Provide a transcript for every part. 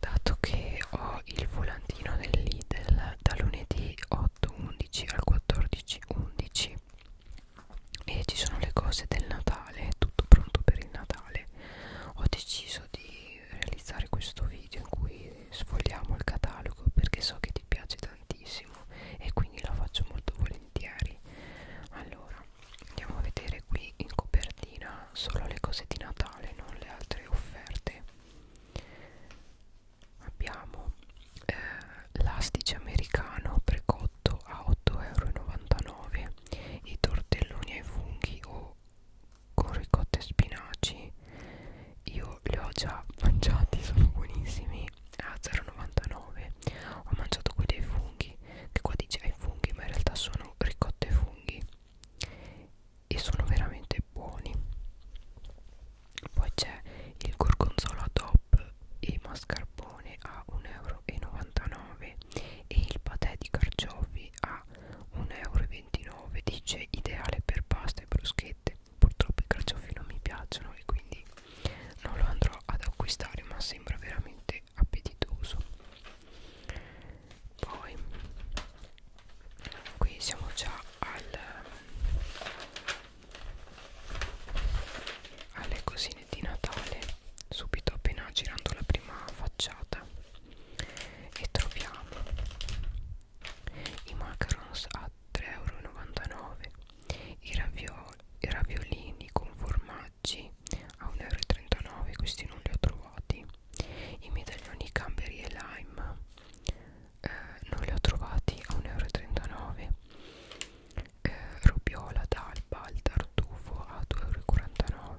dato che ho il volantino del Lidl da lunedì 8-11 al 14-11 e ci sono le cose del Natale, tutto pronto per il Natale ho deciso di realizzare questo video in cui sfogliamo il catalogo perché so che ti piace tantissimo e quindi lo faccio molto volentieri allora andiamo a vedere qui in copertina solo le cose di Natale non le altre offerte abbiamo eh, l'astice americano precotto a 8,99 euro i tortelloni ai funghi o con ricotta e spinaci io li ho già mangiati sono buonissimi a 0,99 ho mangiato quelli ai funghi che qua dice ai funghi ma in realtà sono ricotta e funghi e sono veramente buoni poi c'è il gorgonzola top e mascarpone a 1,99€ e il patè di carciofi a 1,29€ dice ideale per pasta e bruschette purtroppo i carciofi non mi piacciono e quindi non lo andrò ad acquistare ma sembra veramente appetitoso poi qui siamo già al, alle cosine di Natale subito appena girando la prima facciata e troviamo i macarons a 3,99 euro i, raviol i raviolini con formaggi a 1,39 euro questi non li ho trovati i medaglioni Camberi e Lime eh, non li ho trovati a 1,39 euro eh, Robiola, D'Alba, al tartufo a 2,49 euro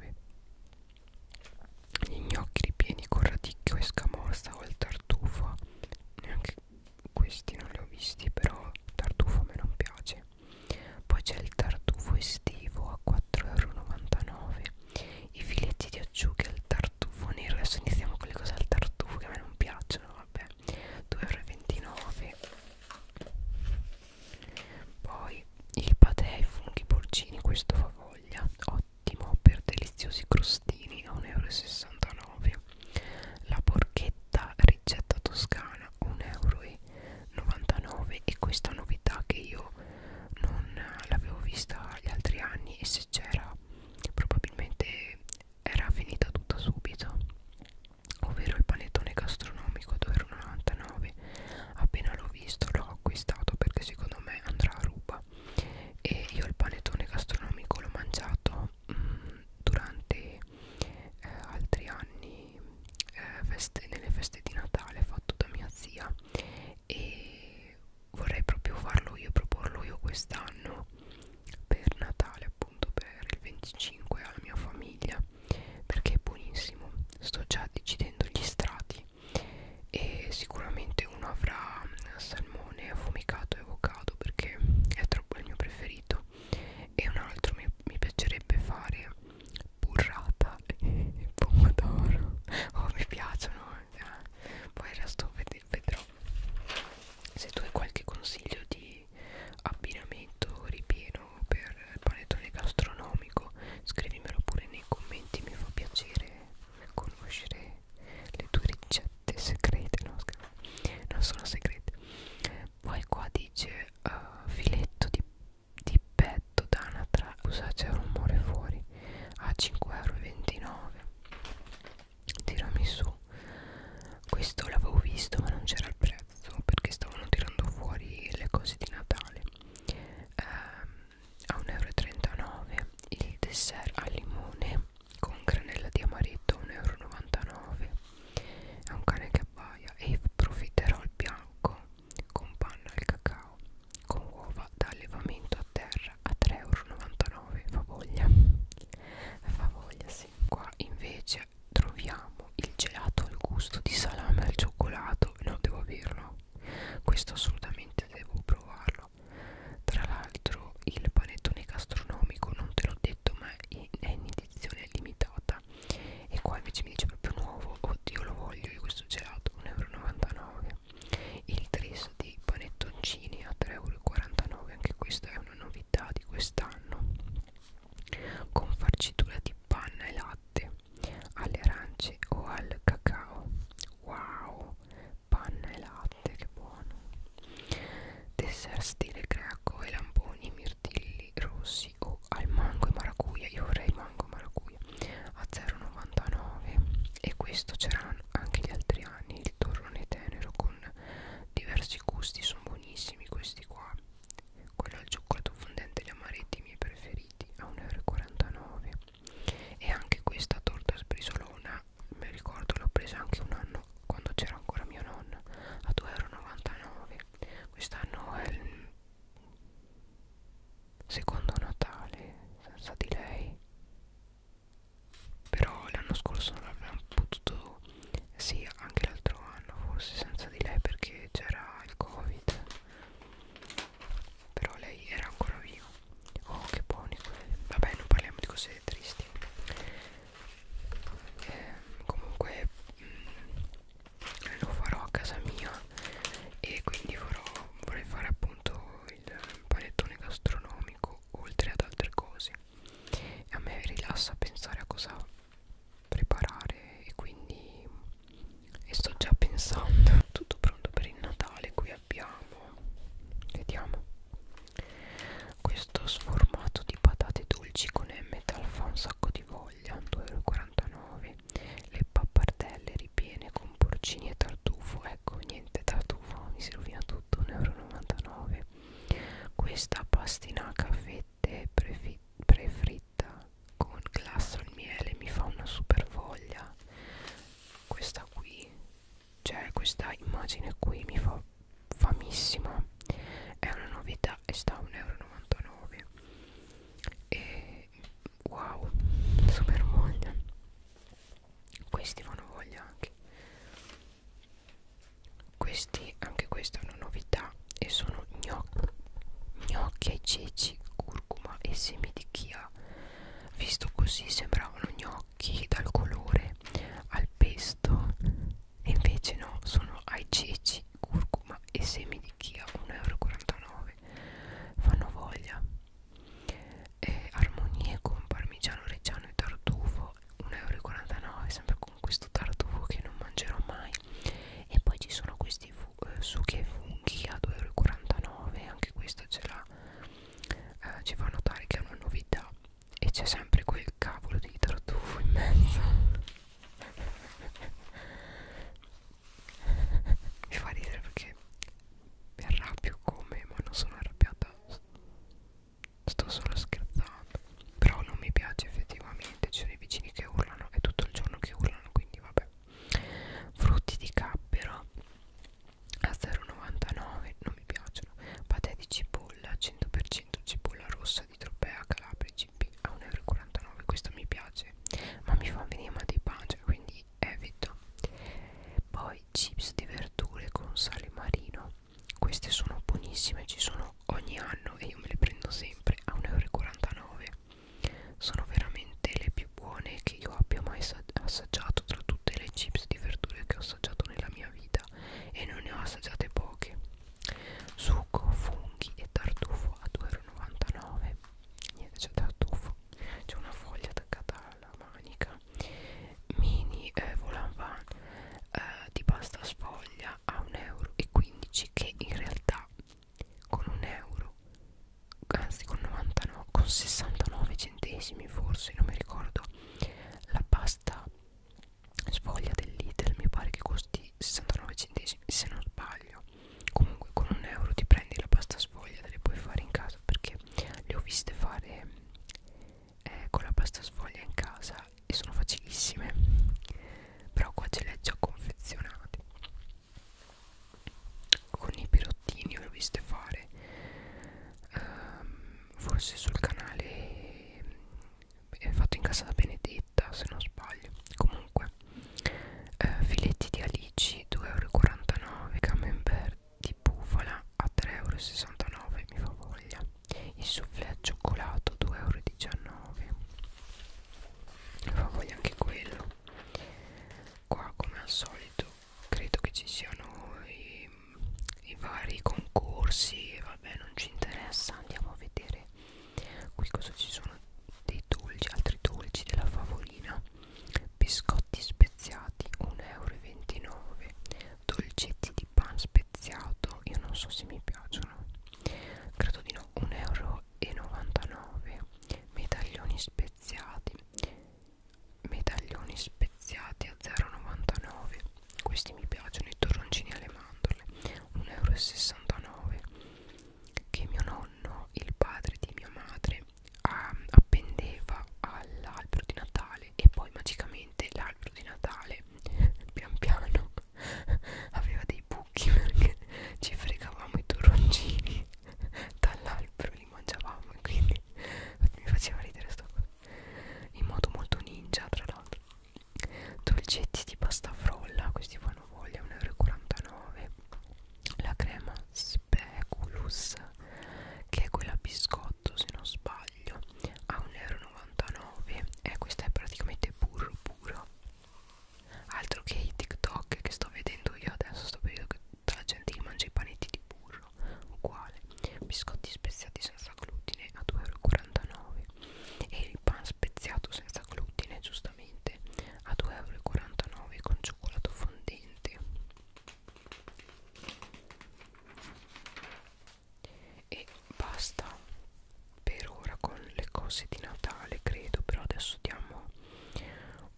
gli gnocchi ripieni con radicchio e scamorza o al tartufo neanche questi non li ho visti però il tartufo a me non piace poi c'è il tartufo estivo a 4,99 euro i filetti di acciughe al tartufo nero adesso iniziamo con le cose al tartufo che a me non piacciono vabbè 2,29 euro poi il patè ai funghi porcini questo fa voglia ottimo per deliziosi crostini a 1,69 euro la porchetta ricetta toscana 1,99 euro e questa novità che io non l'avevo vista gli altri anni e se c'era probabilmente era finita tutta subito ovvero il panettone gastronomico 2,99 appena l'ho visto l'ho acquistato perché secondo me andrà a ruba e io il panettone gastronomico l'ho mangiato mh, mm, durante eh, altri anni eh, feste, nelle feste di Natale fatto da mia zia e e vorrei proprio farlo io, proporlo io quest'anno per Natale appunto per il 25 alla mia famiglia perché è buonissimo sto già decidendo gli strati e sicuramente uno avrà salmone affumicato e avocado perché è troppo il mio preferito e un altro mi, mi piacerebbe fare burrata e pomodoro oh mi piacciono eh. poi il resto ved vedrò se tu hai qualche consiglio di abbinamento ripieno per il panettone gastronomico scrivimelo pure nei commenti mi fa piacere conoscere le tue ricette segrete no, non sono segrete poi qua dice uh, filetto di di petto d'anatra Scusa c'è rumore fuori a 5,29€ tirami su questo l'avevo visto ma non c'era il prezzo perché stavano tirando fuori le cose di Natale eh, a 1,39€ il dessert al limone con granella di amaretto 1,99€ è un cane che abbaia e profiterò il bianco con panna al cacao con uova da allevamento a terra a 3,99€ favoglia favoglia sì qua invece troviamo il gelato al gusto di salame al cioccolato no devo averlo questo assolutamente devo provarlo tra l'altro il panettone gastronomico non te l'ho detto ma è in edizione limitata e qua invece mi dice proprio nuovo oddio lo voglio io questo gelato 1,99€ il tris di panettoncini a 3,49€ anche questa è una novità di quest'anno con farcitura di panna e latte alle arance o al cacao wow panna e latte che buono dessert stile greco e lamponi mirtilli rossi o al mango e maracuja io vorrei mango e maracuja a 0,99 e questo c'erano anche gli altri anni il torrone tenero con diversi gusti sono buonissimi questi qua quello al cioccolato fondente gli amaretti i miei preferiti a 1,49 e anche questa torta sbrisolona mi ricordo l'ho presa anche un anno quando c'era ancora mia nonna a 2,99 euro quest'anno è il secondo Natale senza di lei però l'anno scorso non l'abbiamo potuto sì anche l'altro anno forse senza di lei perché c'era il covid però lei era ancora viva oh che buoni quelli vabbè non parliamo di cose tristi eh, comunque mh, mm, lo farò a casa mia e quindi farò, vorrei fare appunto il panettone gastronomico oltre ad altre cose e a me rilassa pensare a cosa preparare e quindi e sto già pensando tutto pronto per il Natale qui abbiamo vediamo questo sformato di patate dolci con M talfa un sacco di voglia 2,49 euro le pappardelle ripiene con porcini e tartufo ecco niente tartufo mi si rovina tutto 1,99 euro questa pastinaca a fette prefritta con glasso al miele mi fa una super voglia questa qui cioè questa immagine qui mi fa famissima è una novità e sta a 1,99 euro e wow super voglia questi fanno voglia anche questi anche questa è una novità e sono gnocchi gnocchi ai ceci curcuma e semi di chia visto così sembravano gnocchi dal colore al pesto e invece no sono ai ceci curcuma e semi di chia 1,49 euro sempre fanno voglia e armonie con parmigiano reggiano e tartufo 1,49 euro sempre con questo tartufo che non mangerò mai e poi ci sono questi eh, succhi e funghi a 2,49 euro anche questo ce l'ha eh, ci fa notare che è una novità e c'è sempre quel cavolo di tartufo in mezzo mi fa ridere perché mi arrabbio come ma non sono arrabbiata sto solo scherzando però non mi piace effettivamente ci sono i vicini che urlano è tutto il giorno che urlano quindi vabbè frutti di cappera a 0,99 non mi piacciono patè di cipolla 100% cipolla rossa di Tropea Calabria CP a 1,49 euro questo mi piace dolce ma mi fa venire mal di pancia quindi evito poi chips di verdure con sale marino queste sono buonissime ci sono ogni anno e io me le prendo sempre a 1,49 euro sono veramente le più buone che io abbia mai assaggiato tra tutte le chips di verdure che ho assaggiato nella mia vita e non ne ho assaggiate poche succo, funghi e tartufo a 2,99 euro niente c'è della tuffo c'è una foglia attaccata alla manica mini eh, volanvan eh, di pasta sfoglia a 1,15 euro che in realtà con un euro anzi con 99 con 69 centesimi forse non mi ricordo la pasta sfoglia del Lidl mi pare che costi 69 centesimi se non sbaglio comunque con un euro ti prendi la pasta sfoglia te le puoi fare in casa perché le ho viste fare eh, con la pasta sfoglia in casa e sono facilissime però qua ce le ha già confezionate con i pirottini le ho viste fare um, forse sul canale è fatto in casa da Benedetta se non sbaglio comunque eh, filetti di alici 2,49€ camembert di bufala a 3,69€ mi fa voglia il soufflé al cioccolato 2,19€ mi fa voglia anche quello qua come al solito credo che ci siano i, i vari concorsi vabbè non ci interessa andiamo a vedere qui cosa ci sono dei dolci altri dolci della favolina biscotti speziati 1,29 euro dolcetti di pan speziato io non so se mi piacciono credo di no 1,99 euro medaglioni speziati medaglioni speziati a 0,99 questi mi piacciono i torroncini alle mandorle 1,69 euro che mio nonno, il padre di mia madre, um, appendeva all'albero di Natale e poi magicamente l'albero di Natale pian piano aveva dei buchi perché ci fregavamo i torroncini dall'albero, li mangiavamo e quindi mi faceva ridere sta cosa in modo molto ninja tra l'altro dolcetti di pasta frolla questi fanno voglia 1,49 euro la crema speculus che è quella biscotto se non sbaglio a 1,99 euro e questa è praticamente burro puro altro che i tiktok che sto vedendo io adesso sto vedendo che tutta la gente che mangia i panetti di burro uguale biscotti speziati senza glutine a 2,49 euro e il pan speziato senza glutine giustamente a 2,49€ con cioccolato fondente e basta per ora con le cose di Natale credo però adesso diamo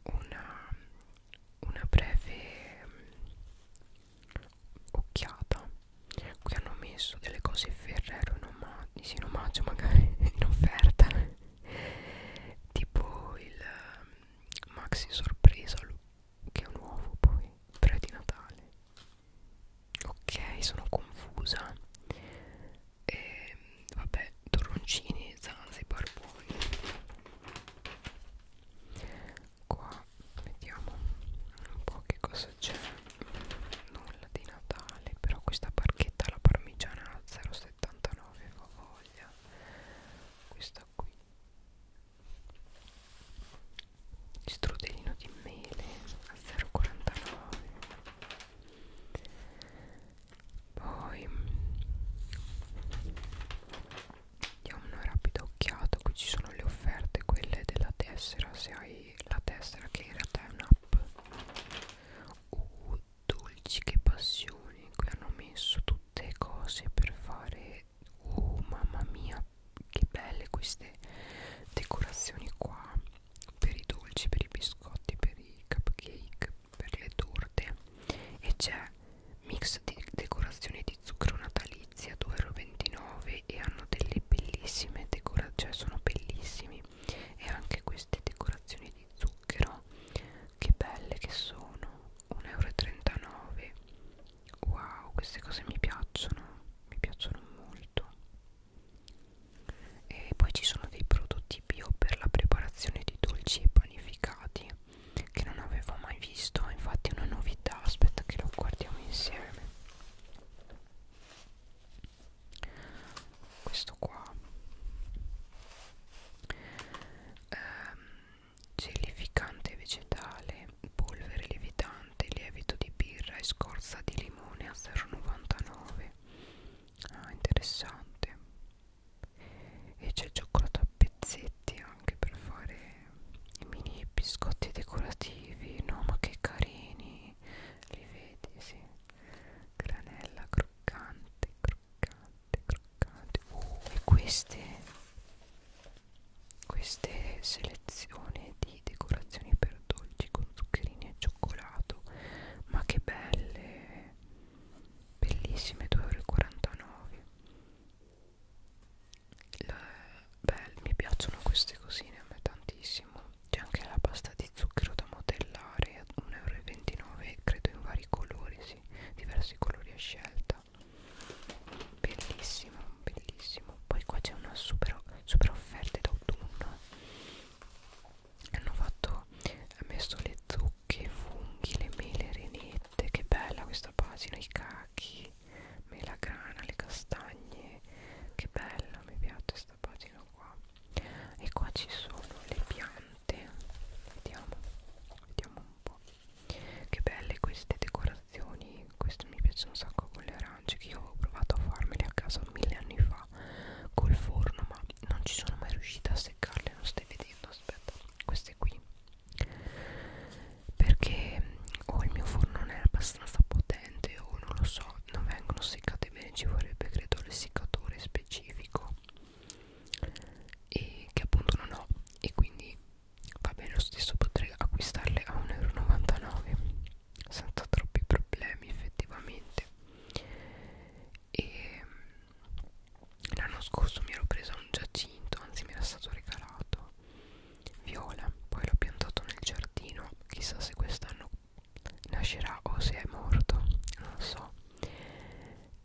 una, una breve mm, occhiata qui hanno messo delle cose ferrero in, omag in omaggio magari in offerta tipo il ehm, maxi sorpresa che è nuovo poi però è di Natale ok sono confusa e ehm, vabbè torroncini zanzibar buoni qua vediamo un po' che cosa c'è nulla di Natale però questa barchetta alla parmigiana 0,7 79 fa voglia questa qui strudelino di mele a 0,49 poi diamo una rapida occhiata qui ci sono le offerte quelle della tessera se hai la tessera che in realtà è un'app uh, dolci che passioni qui hanno messo tutte cose per fare oh mamma mia che belle queste decorazioni qua per i dolci per i biscotti per i cupcake per le torte e c'è mix di decorazioni di zucchero natalizia 2,29€ e hanno delle bellissime decorazioni cioè sono bellissimi e anche queste decorazioni di zucchero che belle che sono 1,39 euro wow queste cose mi piacciono mi piacciono molto e poi ci sono dei prodotti bio per la preparazione di dolci e panificati che non avevo mai visto infatti è una novità aspetta che lo guardiamo insieme questo qua ehm, gelificante vegetale polvere lievitante lievito di birra e scorza di limone a 0,99 ah interessante e c'è cioccolato a pezzetti anche per fare i mini biscotti decorativi no ma che carini li vedi sì granella croccante croccante croccante oh, e queste queste selezioni di decorazioni per dolci con zuccherini e cioccolato ma che belle bellissime 2,49 euro mi piacciono queste cosine a me tantissimo c'è anche la pasta di zucchero da modellare 1,29€ credo in vari colori sì, diversi colori a scelta bellissimo bellissimo poi qua c'è una super, super offerta d'autunno eh. hanno fatto ha messo le zucche i funghi le mele renette che bella questa pagina i cachi melagrana le castagne che bella mi piace questa pagina qua e qua ci sono le piante vediamo vediamo un po' che belle queste decorazioni queste mi piacciono un sacco con le arance che io ho provato a farmele a casa mille anni fa col forno ma non ci sono mai riuscita a seccarle non stai vedendo aspetta queste qui perché o oh, il mio forno non è abbastanza potente o oh, non lo so non vengono seccate bene ci vorrebbe credo l'essiccatore specifico e che appunto non ho e quindi va bene lo stesso potrei acquistarle a 1,99 euro senza troppi problemi effettivamente e l'anno scorso mi ero presa un giacinto anzi mi era stato regalato viola poi l'ho piantato nel giardino chissà se quest'anno nascerà o se è morto, non so.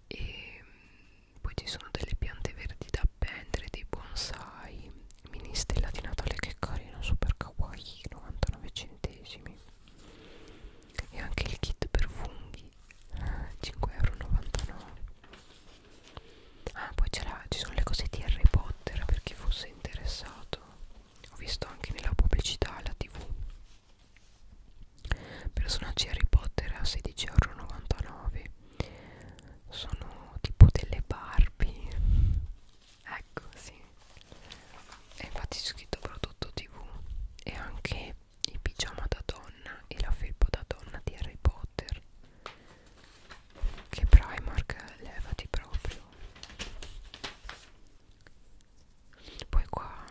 E mm, poi ci sono delle piante verdi da appendere, dei bonsai, mini stella di Natale che carino, super kawaii, 99 centesimi. E anche il kit per funghi, 5,99€. Ah, poi ci sono le cose di Harry Potter per chi fosse interessato. Ho visto anche nella pubblicità alla tv Personaggi Harry Potter a 16,99 Sono tipo delle Barbie Ecco, sì E infatti c'è scritto prodotto tv E anche il pigiama da donna e la felpa da donna di Harry Potter Che Primark levati proprio poi qua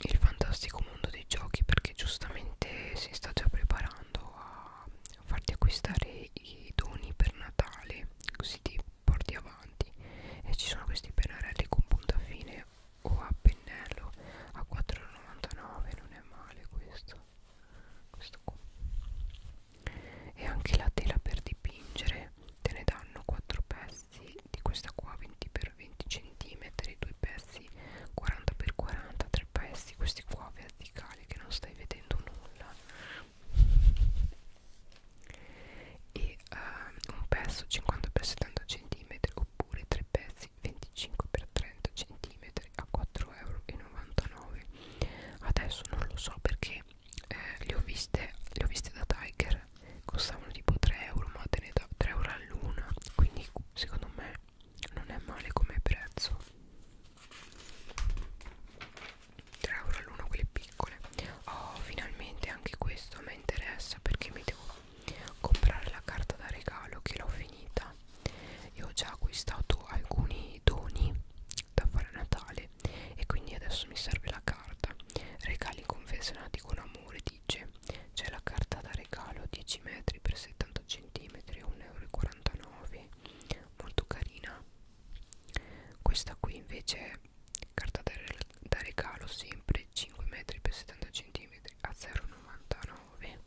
il fantastico mondo dei giochi perché giustamente si sta già preparando a farti acquistare i doni per Natale così ti porti avanti e ci sono questi pennarelli con punta fine o a pennello a 4,99 non è male questo questo qua e anche la tela per dipingere te ne danno 4 pezzi pezzi di questa qua 20 x 20 cm due pezzi 40 x 40 tre pezzi questi qua verticali che non stai vedendo nulla e uh, un pezzo 50 x 70 cm oppure tre pezzi 25 x 30 cm a 4,99 euro adesso non lo so perché che eh, le, ho viste, le ho viste da Tiger costavano tipo 3 euro ma te ne da 3 euro all'una quindi secondo me non è male come prezzo 3 euro all'una quelle piccole oh finalmente anche questo mi interessa perché mi devo comprare la carta da regalo che l'ho finita io ho già acquistato alcuni doni da fare a Natale male e quindi adesso mi serve la carta regali confezionati con amore dice c'è la carta da regalo 10 metri per 70 cm 1,49 euro molto carina questa qui invece è carta da, re da regalo sempre 5 metri per 70 cm a 0,99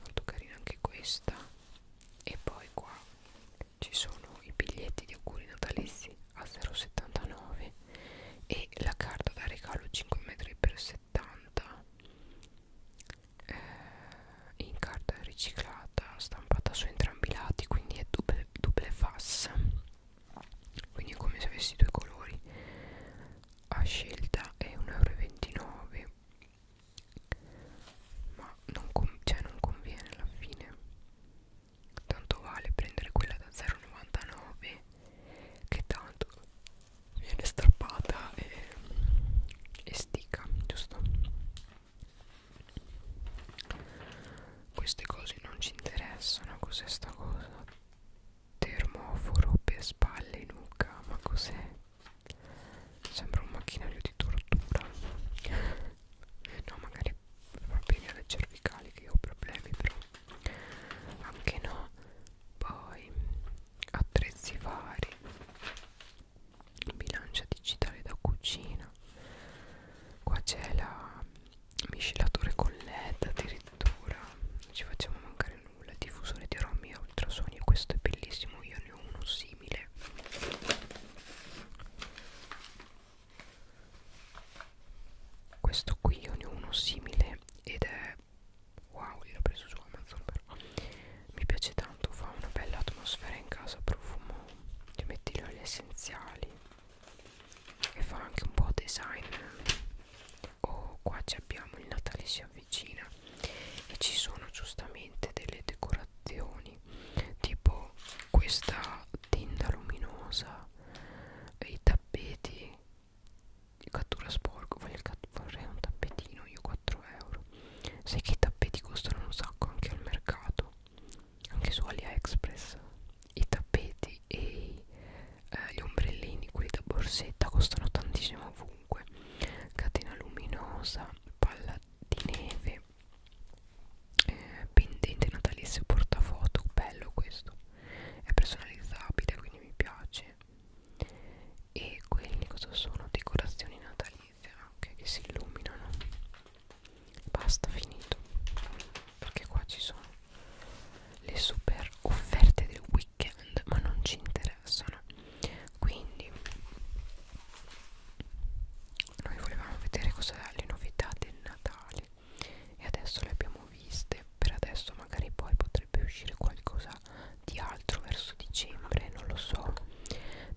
molto carina anche questa e poi qua ci sono i biglietti di auguri natalizi a 0,79 e la carta da regalo 5 metri per 70 eh, in carta riciclata stampata su entrambi i lati quindi è double, double face quindi è come se avessi due colori a scelta è 1,29 euro ma non, cioè non conviene alla fine tanto vale prendere quella da 0,99 che tanto viene strappata e, e stica giusto queste cose non ci interessano cos'è sta cosa termoforo per spalle e nuca ma cos'è sembra un macchinario di tortura no magari problemi alle cervicali che io ho problemi però anche no poi attrezzi vari bilancia digitale da cucina qua c'è la miscelatore con led addirittura non ci facciamo mancare nulla diffusore di romi ultrasoni questo è bellissimo io ne ho uno simile questo qui io ne ho uno simile ed è wow l'ho preso su Amazon però mi piace tanto fa una bella atmosfera in casa profumo ti metti gli oli essenziali e fa anche un po' design oh qua ci abbiamo il Natale si avvicina e ci sono giustamente delle decorazioni anni tipo questa tinta luminosa i tappeti cattura sporco voglio cat vorrei un tappetino io 4 euro sai che i tappeti costano un sacco anche al mercato anche su AliExpress i tappeti e eh, gli ombrellini quelli da borsetta costano tantissimo ovunque catena luminosa palla di neve eh, pendente natalizio portafoto bello questo è personalizzabile quindi mi piace e quelli cosa sono decorazioni natalizie anche che si illuminano basta finito perché qua ci sono le super offerte del weekend ma non ci interessano quindi noi volevamo vedere cosa le novità del Natale e adesso le abbiamo viste per adesso magari poi potrebbe uscire qualcosa di altro verso dicembre non lo so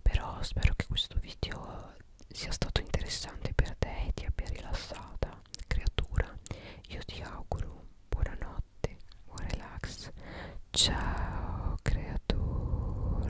però spero che questo video sia stato interessante per te e ti abbia rilassata creatura io ti auguro buonanotte buon relax ciao creatura